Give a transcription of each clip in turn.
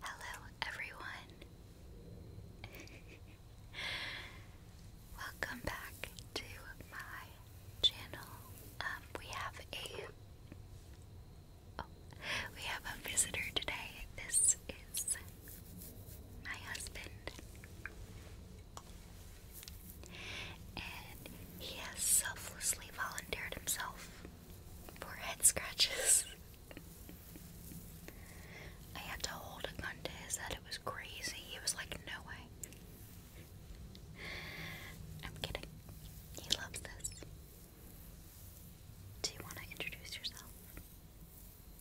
Hello, everyone. Welcome back to my channel. Um, we have a oh, we have a visitor today. This is my husband, and he has selflessly volunteered himself head scratches. I had to hold a his head. It was crazy. He was like, no way. I'm kidding. He loves this. Do you want to introduce yourself?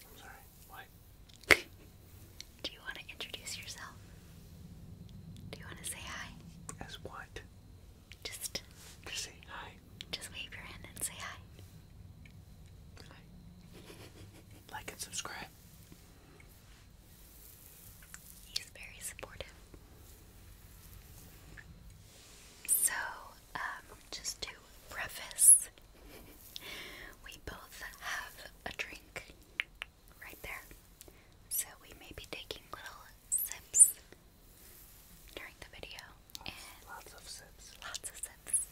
I'm sorry, what? Do you want to introduce yourself? Do you want to say hi? As what? Just say hi. Just wave your hand and say hi. Hi. Like and subscribe. He's very supportive. So, um, just to preface, we both have a drink right there. So we may be taking little sips during the video. lots of sips. Lots of sips.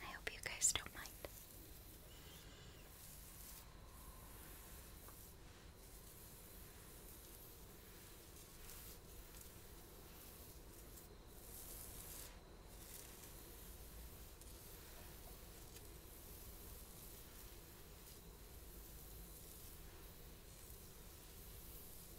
I hope you guys don't mind.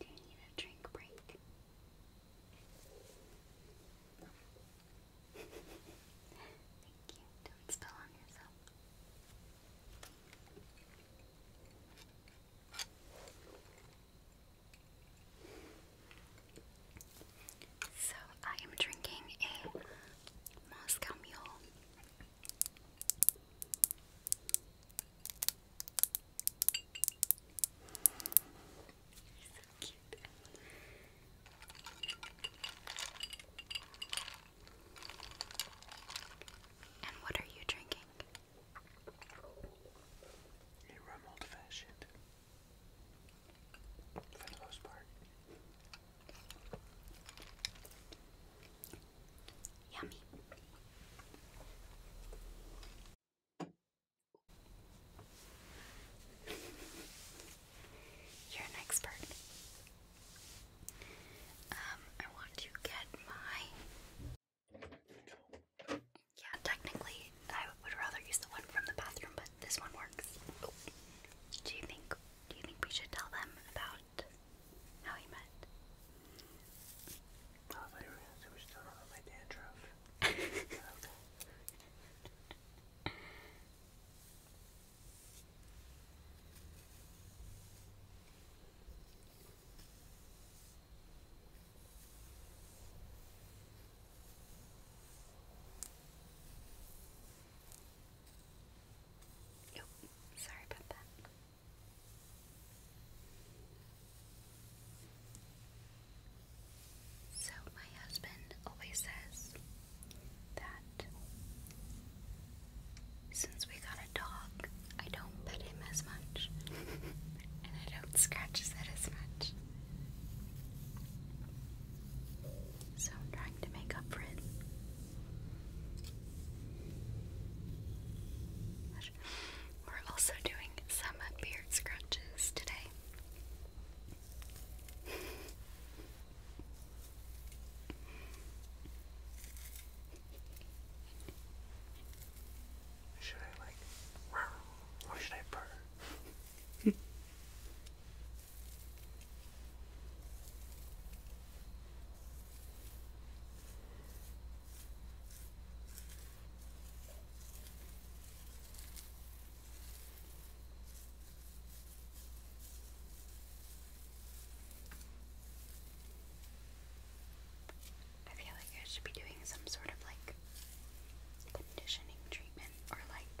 Do you need a drink break? Thank you. Don't spill on yourself. So I am drinking a Moscow Mule. And what are you drinking? You rum old for the most part. Yummy. You're an expert. Um, I want to get my yeah, technically, I would rather use the one from the bathroom, but this one works. Do you think? Do you think we should tell them about how we met? I thought you we should tell them my dandruff. okay. Nope, oh, sorry about that. So, my husband always says that since we got a dog, I don't pet him as much, and I don't scratch his as much. So I'm trying to make up for it. We're also doing some beard scratches today. Should I like or should I purr? I feel like I should be doing some sort of like conditioning treatment or like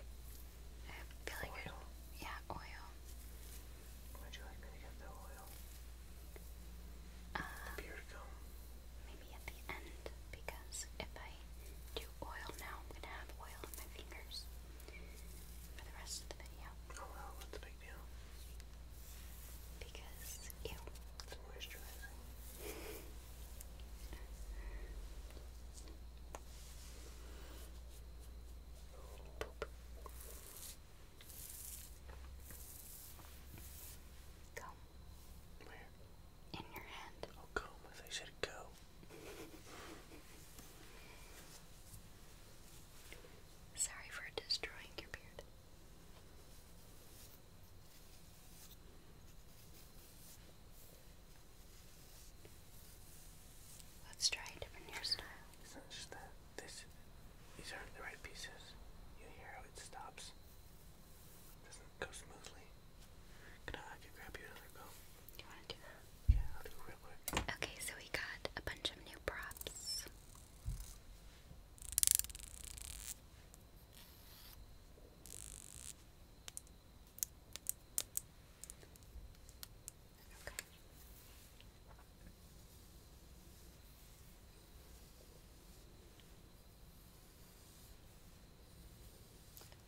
I feel yeah, oil. Would you like me to get the oil? the um, beard gum. Maybe at the end because if I do oil now, I'm gonna have oil on my fingers for the rest of the video. Oh well, the big because, ew. It's moisturizing. Go. Where? In your hand. Oh, go. I thought go. Sorry for destroying your beard. Let's try a different hairstyle. this these aren't the right pieces. You hear how it stops. doesn't go smoothly. Can I, grab you another comb? you wanna do that? Yeah, I'll do real quick. Okay, so we got a bunch of new props. Okay.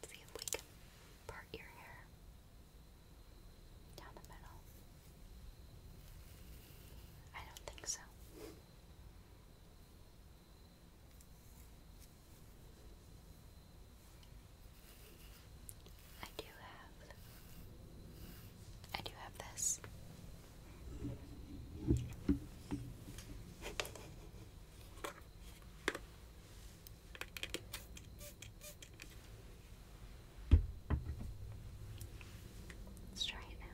let see if we can part your hair down the middle. I don't think so. I do have I do have this. Let's try it now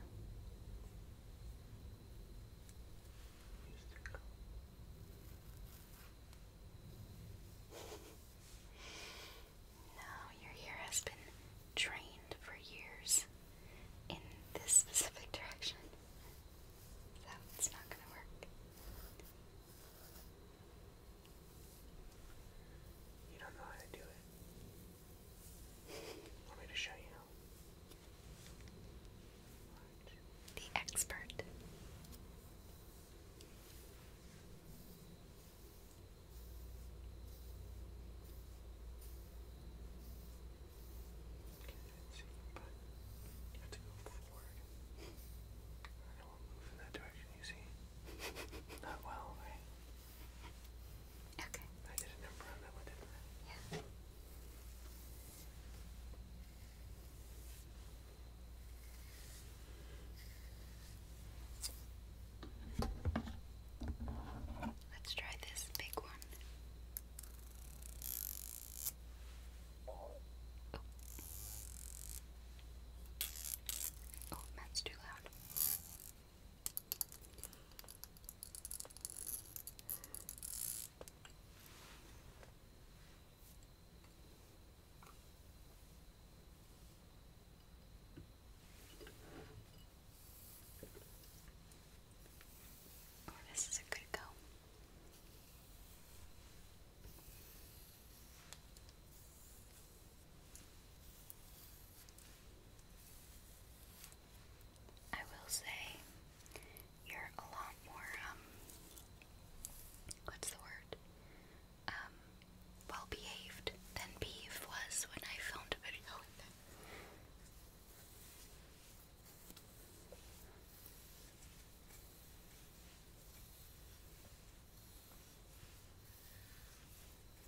now. your hair has been trained for years in this specific direction, so not going to work. You don't know how to do it. Want me to show you? The expert. See, but you have to go forward. I don't move in that direction, you see? Not well, Okay. Yeah. Let's try this big one. oh, oh that's too loud. Oh, this is a good go. I will say you're a lot more, um, what's the word? Um, well behaved than Beef was when I filmed a video with him.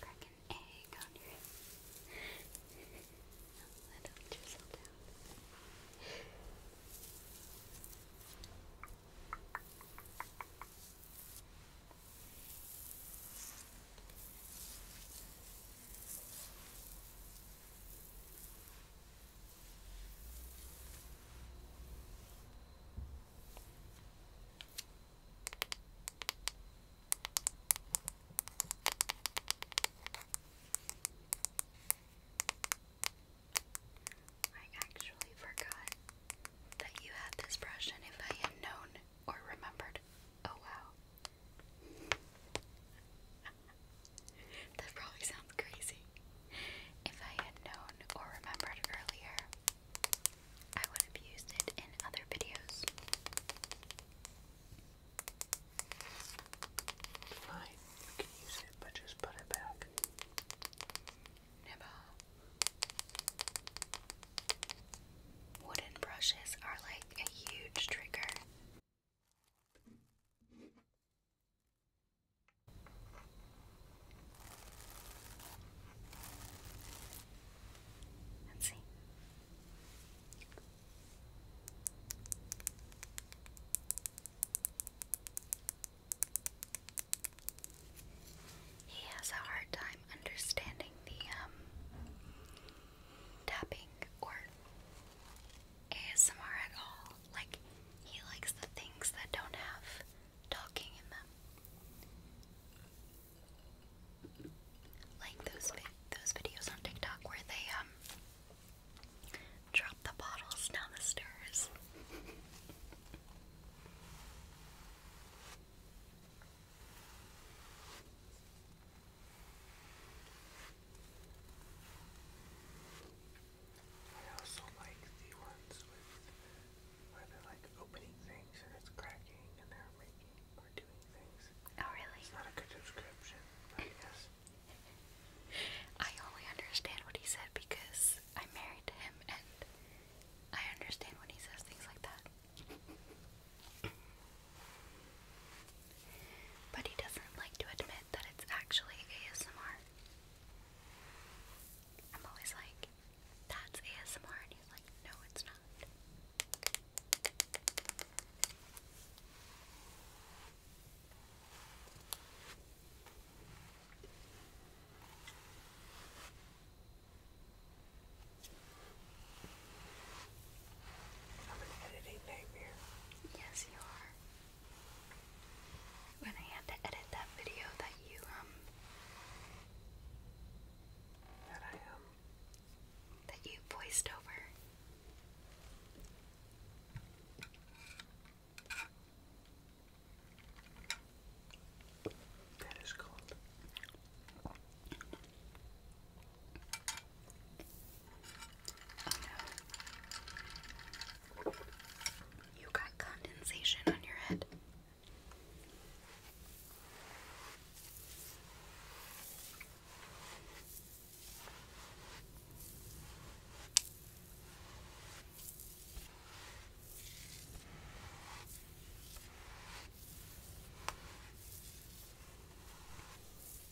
Crack an egg on your head. A little drizzle down. Good. I actually forgot that you had this brush, and if I had known or remembered, oh wow. that probably sounds crazy. If I had known or remembered earlier, I would have used it in other videos. Fine, can use it, but just put it back. Never. Wooden brushes are like a huge trigger Let's see. He has a hard time understanding the um, tapping or ASMR at all. Like, he likes the things that don't have talking in them. Like those those videos on TikTok where they um drop the bottles down the stairs. I also like the ones with where opening things and it's cracking and they're making or doing things. Oh really? It's not a good description, but yes. I only understand what he said because I'm married to him and I understand when he says things like that. But he doesn't like to admit that it's actually ASMR. I'm always like, that's ASMR, and he's like, no, it's not. I'm an editing nightmare. Yes, you are. When I had to edit that video that you, um, that I, um, that you voiced over. That is cold. Oh no. You got condensation on your head.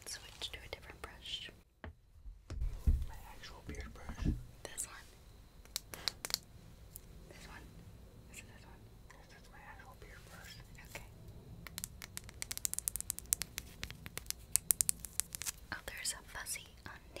Let's switch to a different brush. My actual This one. This Is this one? This is my actual beard brush. Okay. Oh, there's a fuzzy on mic.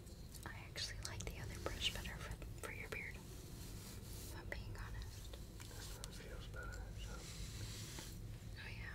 I actually like the other brush better for, for your beard, if I'm being honest. Oh, yeah.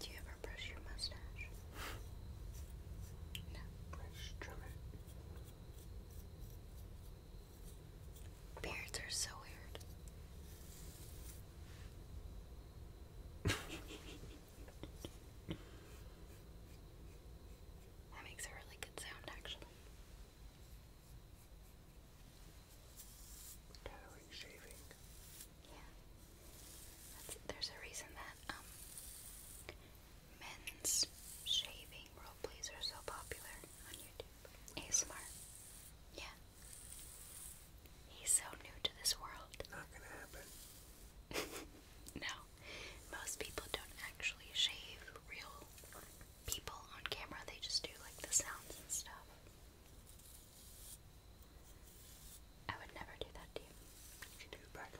Do you ever brush your mustache? no. Brush, trim it. Beards are so weird. That makes a really good sound, actually. shaving. Yeah. there's a reason that um, men's shaving roleplays are so popular on YouTube. ASMR. Yeah. He's so new to this world. Not gonna happen. no. Most people don't actually shave real people on camera, they just do like the sounds and stuff. I would never do that to you. You do the back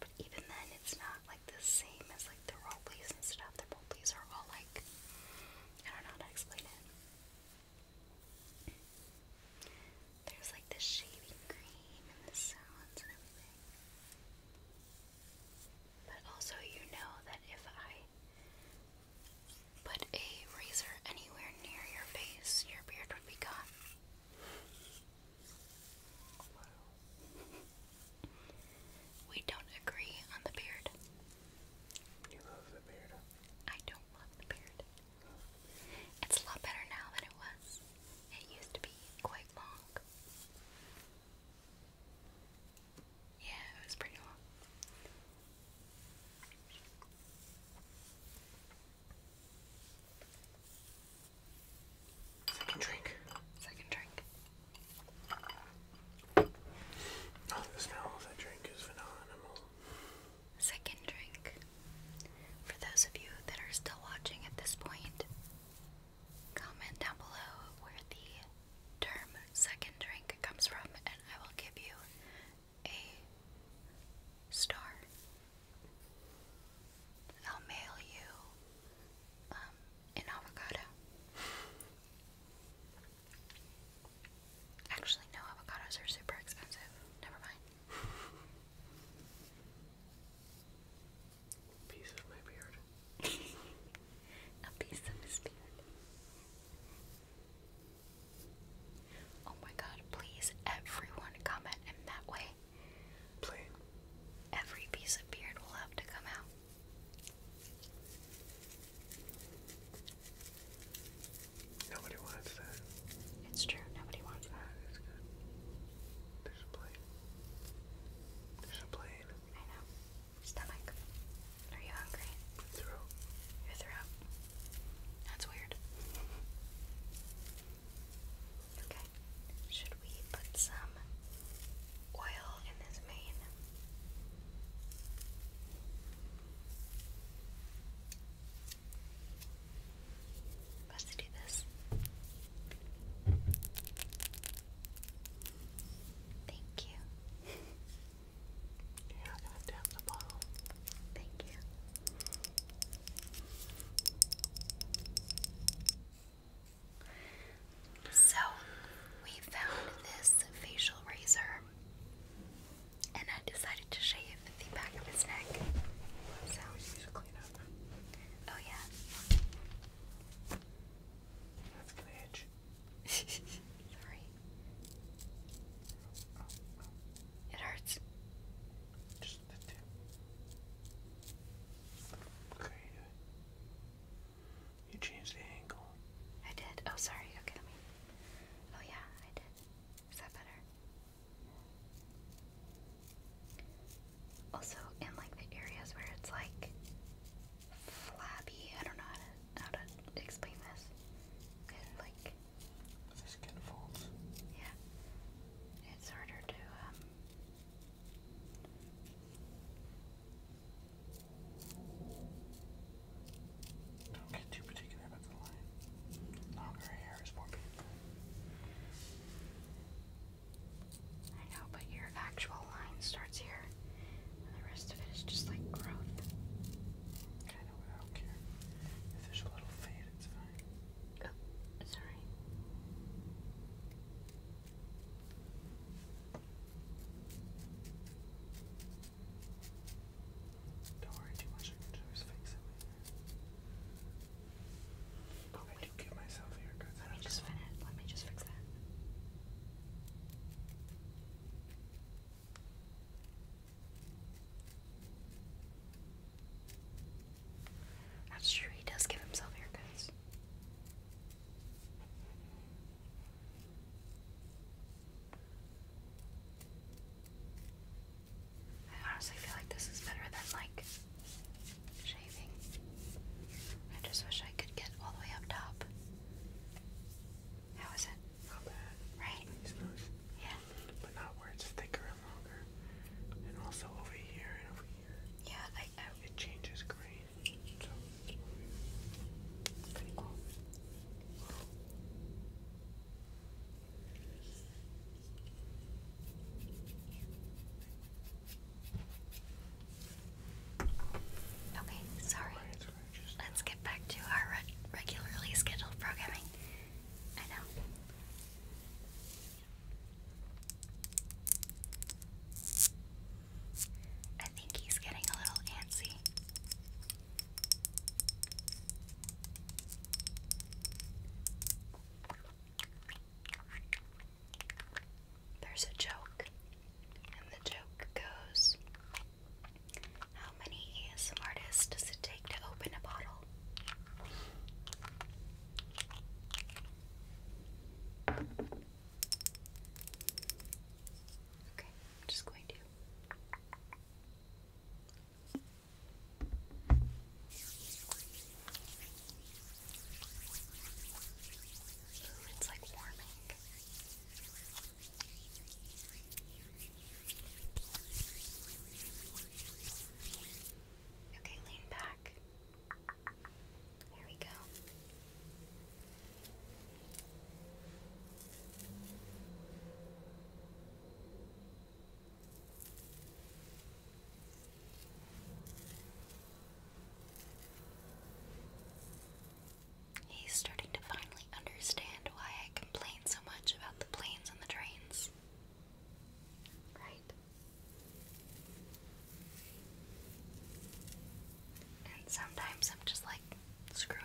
but even then, it's not like the same as like the role and stuff. The role are all like, I don't know there's like the shaving cream and the sounds and everything. But also, you know that if I put a razor anywhere near your face, your beard would be gone. We don't agree on the beard. You love the beard. I don't love the beard. It's a lot better now than it was. It used to be quite long. Yeah, it was pretty long. Second drink. Second drink. Oh, the smell of that drink is phenomenal. Second drink. For those of you that are still watching at this point, comment down below where the term second drink comes from, and I will give you a star. I'll mail you um, an avocado. Actually, no, avocados are super expensive. Never mind. piece of my beard. A piece of his beard. Oh my god, please, everyone comment in that way. Please. Every piece of beard will have to come out. Nobody wants that. It's true, nobody wants that. There's a plane. There's a plane. I know. Stomach. Are you hungry? Throat. Your throat. That's weird. Okay. Should we put some oil in this mane? Let's do this. Thank you. You're not to down the bottle. Thank you. So, we found this facial razor, and I decided to shave the back of his neck. Oh yeah. That's gonna itch. Sorry. It hurts. Just the tip. Okay. You changed the angle. I did. Oh, sorry. Okay, Oh yeah, I did. Is that better? Also, in like the areas where it's like flabby, I don't know how to, explain this. It like skin folds. Yeah, it's harder to um. Don't get too particular about the line. Longer hair is more painful. I know, but your actual line starts here, and the rest of it is just like growth. I don't care. If there's a little fade, it's fine. Oh, sorry. Don't worry too much, I can always fix it I do give Let me just finish. Let me just fix that. That's true. He does give himself haircuts. I honestly feel like this is better than like shaving. I just wish I could get all the way up top. How is it? Not bad. Right? It's nice. Yeah. But not where it's thicker and longer. And also over here and over here. Yeah, I, it changes grade. So pretty cool. Okay, sorry. Let's get back to our regularly scheduled programming. I know. I think he's getting a little antsy. There's a joke, and the joke goes How many ASM artists does it take to open a bottle? Okay, I'm just going to it's like warming. Okay, lean back. There we go. He's starting to finally understand why I complain so much about the planes and the trains. Right? And sometimes I'm just like, screw it.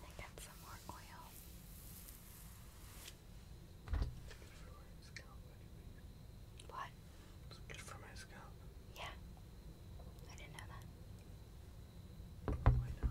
I got some more oil. What? good for my scalp. Yeah. I didn't know that. Why not?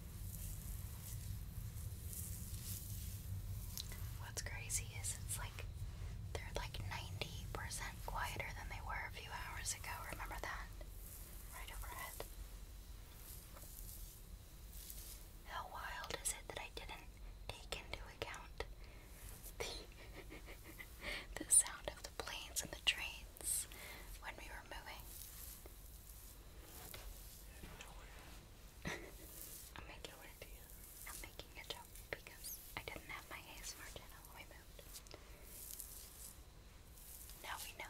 What's crazy is it's like they're like 90% quieter than they were a few hours ago. Remember that? Right overhead. How wild is it that I didn't take into account the, the sound of the planes and the trains when we were moving? I'm making it. I'm making a joke because I didn't have my ASMR channel removed. Now we know.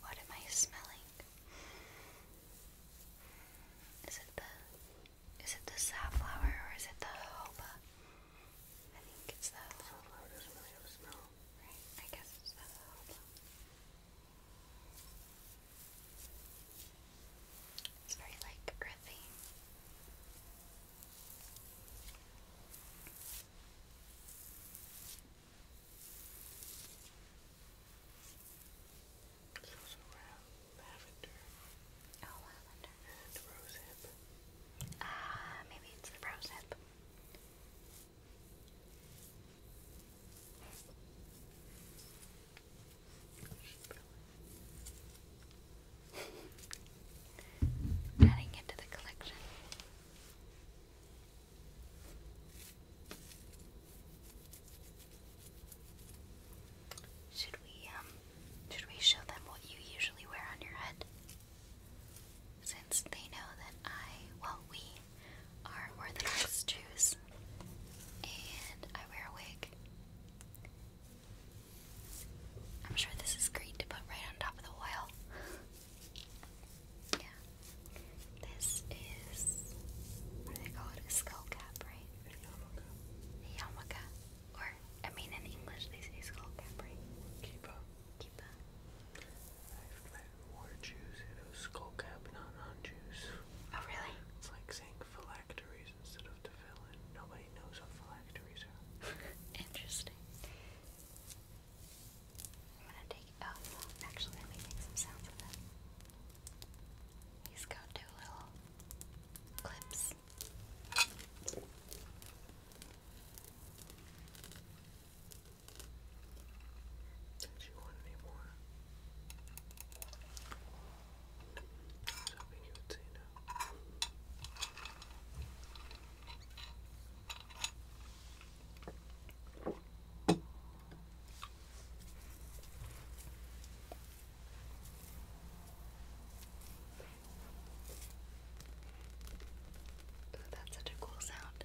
What am I smelling? Is it the is it the safflower or is it the hoba? I think it's the safflower doesn't really smell. Right, I guess it's the hoba. It's very like earthy. It's also lavender. Oh, lavender. And rosehip. Ah, maybe it's the rosehip. Adding it to the collection. Should we um should we show them what you usually wear on your head? Since they know that I well we are Orthodox Jews and I wear a wig. I'm sure this is great to put right on top of the oil. Yeah. This is what they call it? A skull cap, right? A Or I mean in English they say skull cap, right? Keeper. Keeper. I've met more Jews who know skull cap not non Jews. Oh really? It's like saying phylacteries instead of tefillin. Nobody knows what phylacteries are. Interesting. I'm gonna take oh actually let me make some sounds with it. He's got two little clips. do you want any more? I was hoping you would say no. Oh, that's such a cool sound.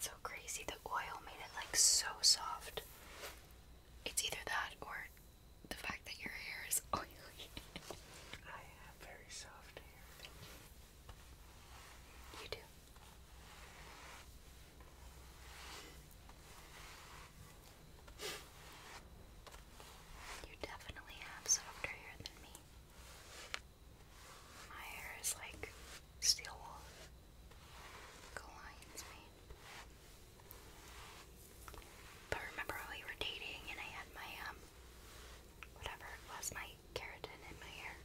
so crazy, the oil made it like so soft. It's either that or the fact that your hair is oily. I have very soft hair. You do. You definitely have softer hair than me. My hair is like steel wool. Go But remember when we were dating and I had my, um, whatever it was, my keratin in my hair.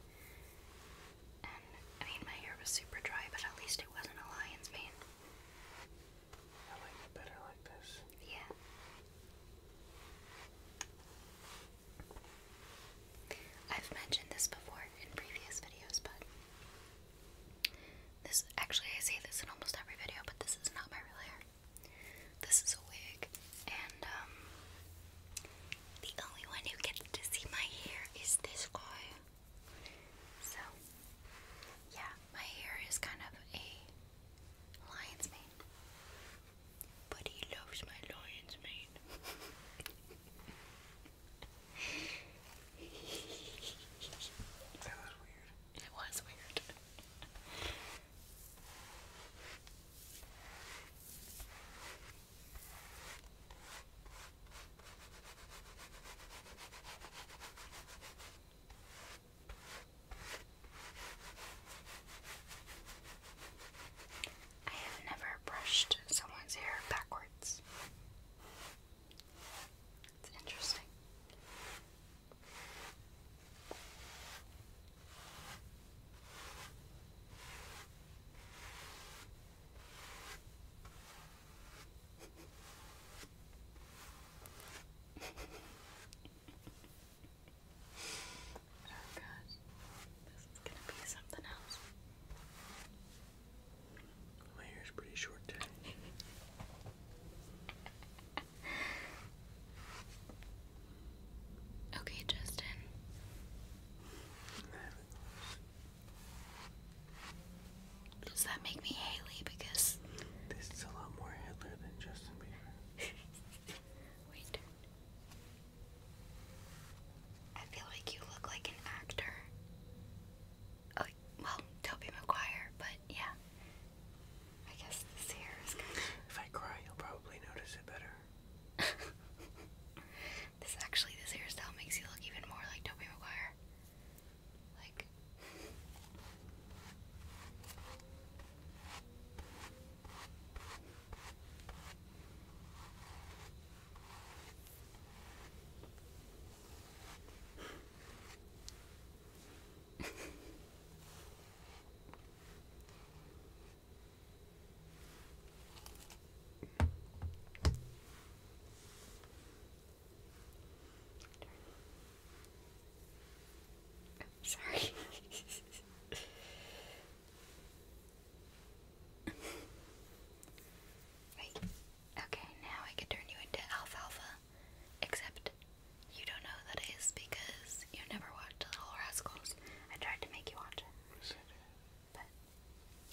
And I mean, my hair was super dry, but at least it wasn't a lion's mane. I like better like this. Yeah. I've mentioned this before in previous videos, but this actually I say this in almost every video, but this is not my real hair. This is a wig, and um, the only one who gets to see my hair is this guy. So, yeah, my hair is kind of a lion's mane, but he loves my lion's mane. that was weird. It was weird. I have never brushed someone's hair backwards. It's interesting oh god, this is gonna be something else. My hair's pretty short today. okay, Justin. Does that make me Haley? Because this is a lot more Hitler than Justin Bieber. Wait. I feel like you look like an actor. Oh, well, Toby McGuire, but yeah. I guess this hair is kind If I cry, you'll probably notice it better. this actually, this hairstyle makes you look even more like Toby Maguire. Like. sorry. Wait. Okay, now I can turn you into alfalfa. Except you don't know who that is because you never watched Little Rascals. I tried to make you watch it. But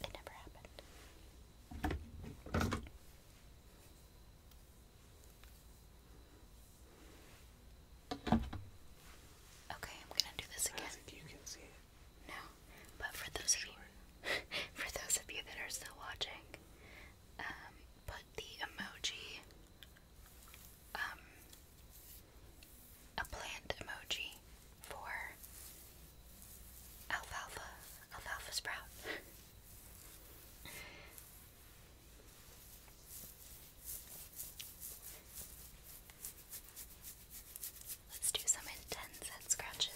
it never happened. Okay, I'm gonna do this again. you can see it. No, but for those of you, for those of you that are still watching, um, put the emoji um, a plant emoji for alfalfa, alfalfa sprout. Let's do some intense head scratches.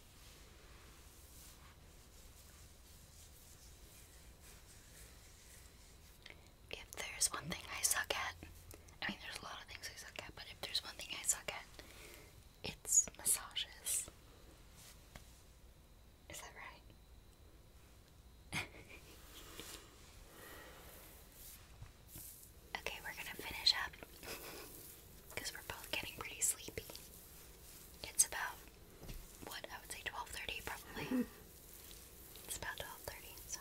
If there's one thing I suck at, I mean, there's a lot of things I suck at, but if there's one thing I suck at, it's massages. Is that right? okay, we're gonna finish up because we're both getting pretty sleepy. It's about what I would say twelve thirty probably. Mm-hmm. it's about twelve thirty, so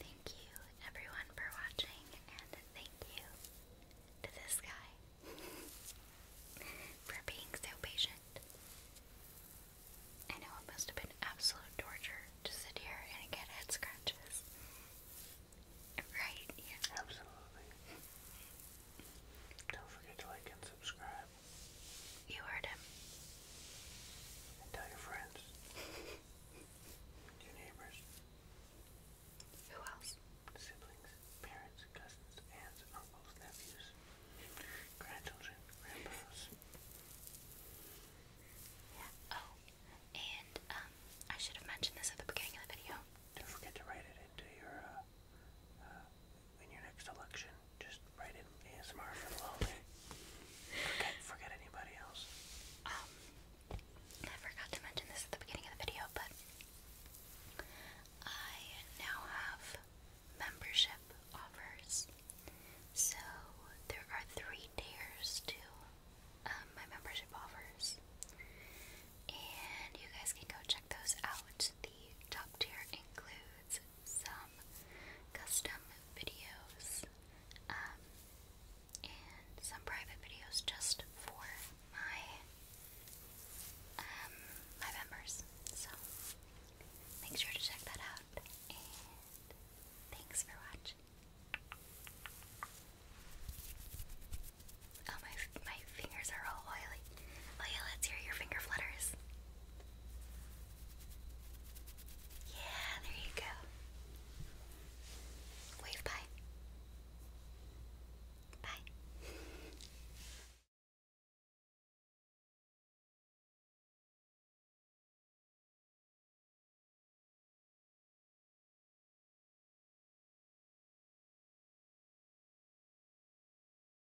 Thank you everyone for watching and thank you to this guy for being so patient. I know it must have been absolute torture to sit here and get head scratches. Right, Absolutely. Don't forget to like and subscribe. You heard him. tell your friends. your neighbors. Who else? Siblings, parents, cousins, aunts, uncles, nephews, grandchildren, grandpas. Yeah. Oh, and um, I should have mentioned this at the beginning of the video. Don't forget to write it into your uh, uh, in your next election just write in ASMR for the lonely. Forget, forget anybody else. Um, I forgot to mention this at the beginning of the video, but I now have membership offers. So there are three tiers to um, my membership offers, and you guys can go check those out. The top tier includes some custom videos um, and some private videos just for my um, my members. So make sure to check that out. thanks for watching. Oh my my fingers are all oily. Oh yeah, let's hear your finger flutters. Yeah, there you go. Wave bye. Bye.